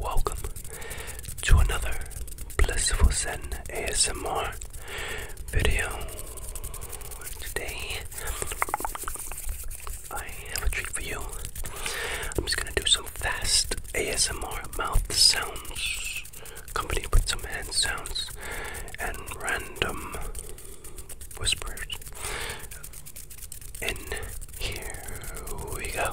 Welcome to another Blissful Zen ASMR video. Today, I have a treat for you. I'm just gonna do some fast ASMR mouth sounds accompanied with some hand sounds and random whispers. And here we go.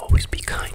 Always be kind.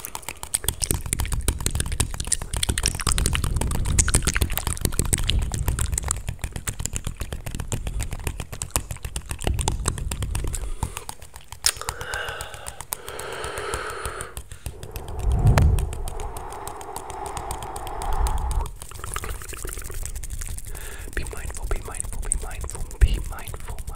Be mindful, be mindful, be mindful, be mindful.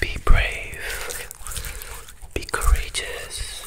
Be brave, be courageous,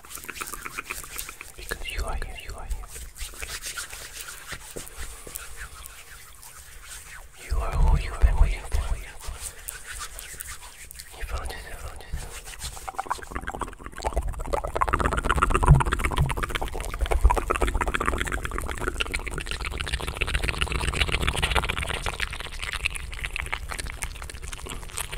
Because you are here, you are here. You are who you've been waiting for. You found yourself, found yourself.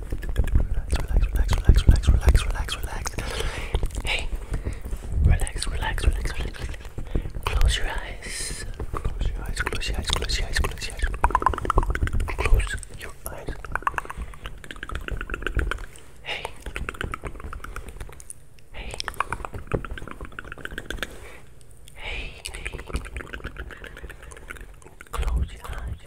relax, relax, relax, relax, relax, relax, relax. Hey, relax, relax, relax, relax. Close your eyes. Close your eyes. Close your eyes. Close your eyes. Close your eyes. Close your eyes. Hey. Hey. Hey. Close your eyes.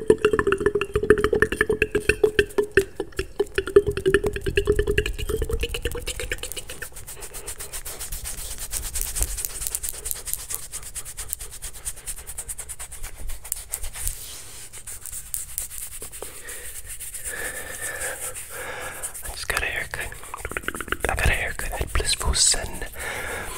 I just got a haircut. I got a haircut at Blissful Sun.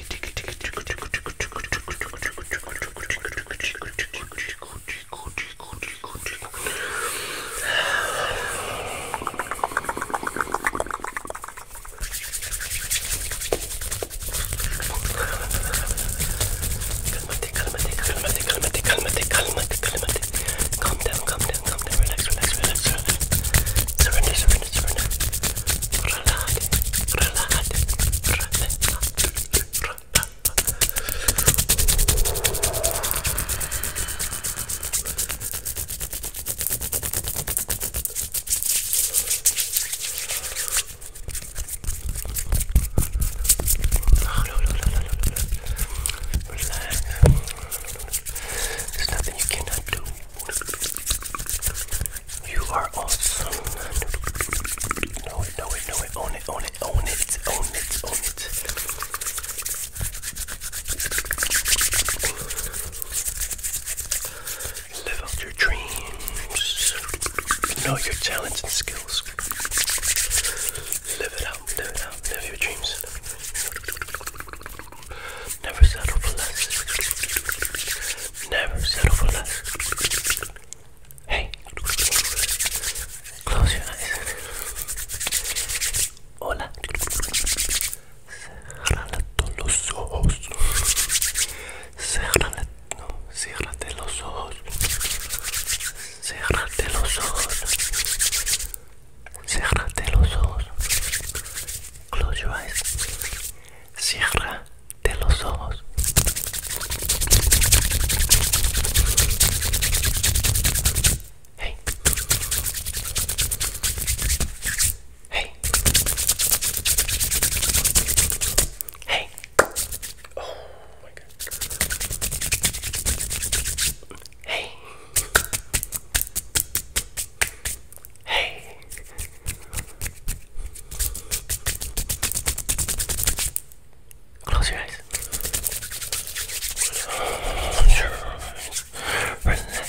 Calmate, calmate, calmate, calmate, calmate, calmate, calmate. Calm down, calm down, calm down, relax, relax, relax, relax. Surrender, surrender, surrender relax, relax, relax. There's nothing you cannot do. You are awesome. Know it, own it, own it, own it, own it, own it. Live out your dreams. Know your talents and skills. Live it out, live it out, live your dreams. Never settle for less. Never settle for less. Hey, close your eyes. Hola. Cerrate los ojos. Cerrate, no, los ojos. Cerrate los ojos. Cerrate los ojos. Close your eyes. Cierra de los ojos. Hey. Hey. Hey. Oh my god. Hey. Hey. Close your eyes. Close your eyes. Relax. Relax.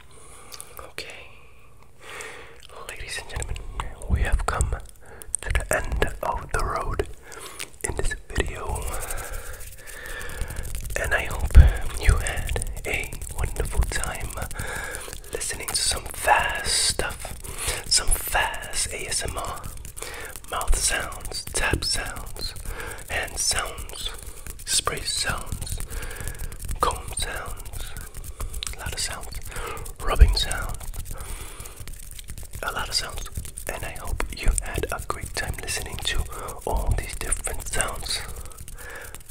Okay, ladies and gentlemen, we have come to the end of the road in this video, and I hope you had a wonderful time listening to some fast stuff, some fast ASMR, mouth sounds, tap sounds, and sounds spray sounds, comb sounds, a lot of sounds, rubbing sounds, a lot of sounds. And I hope you had a great time listening to all these different sounds.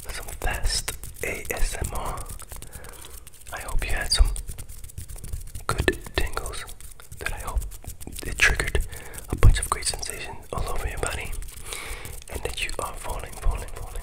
Some fast ASMR. I hope you had some good tingles that I hope it triggered a bunch of great sensations all over your body and that you are falling, falling, falling,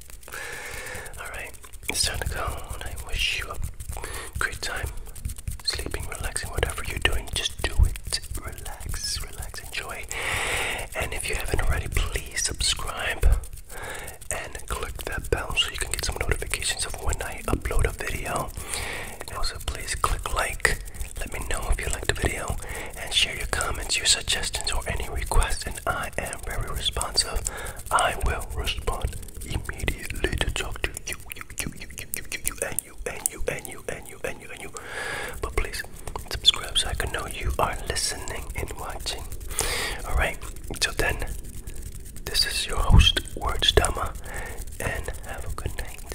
Alright, it's time to go, I wish you a great time sleeping, relaxing, whatever you're doing. Just do it. Relax, relax, enjoy. And if you haven't already, please subscribe and click that bell so you can get some notifications of when I upload a video. also, please click like. Let me know if you liked the video and share your comments, your suggestions, or any requests. I am very responsive. I will respond immediately to talk to you, you, you, you, you, you, you, you, and you, and you, and you, and you, and you, and you. But please subscribe so I can know you are listening and watching. All right. So then, this is your host, Words Dama, and have a good night.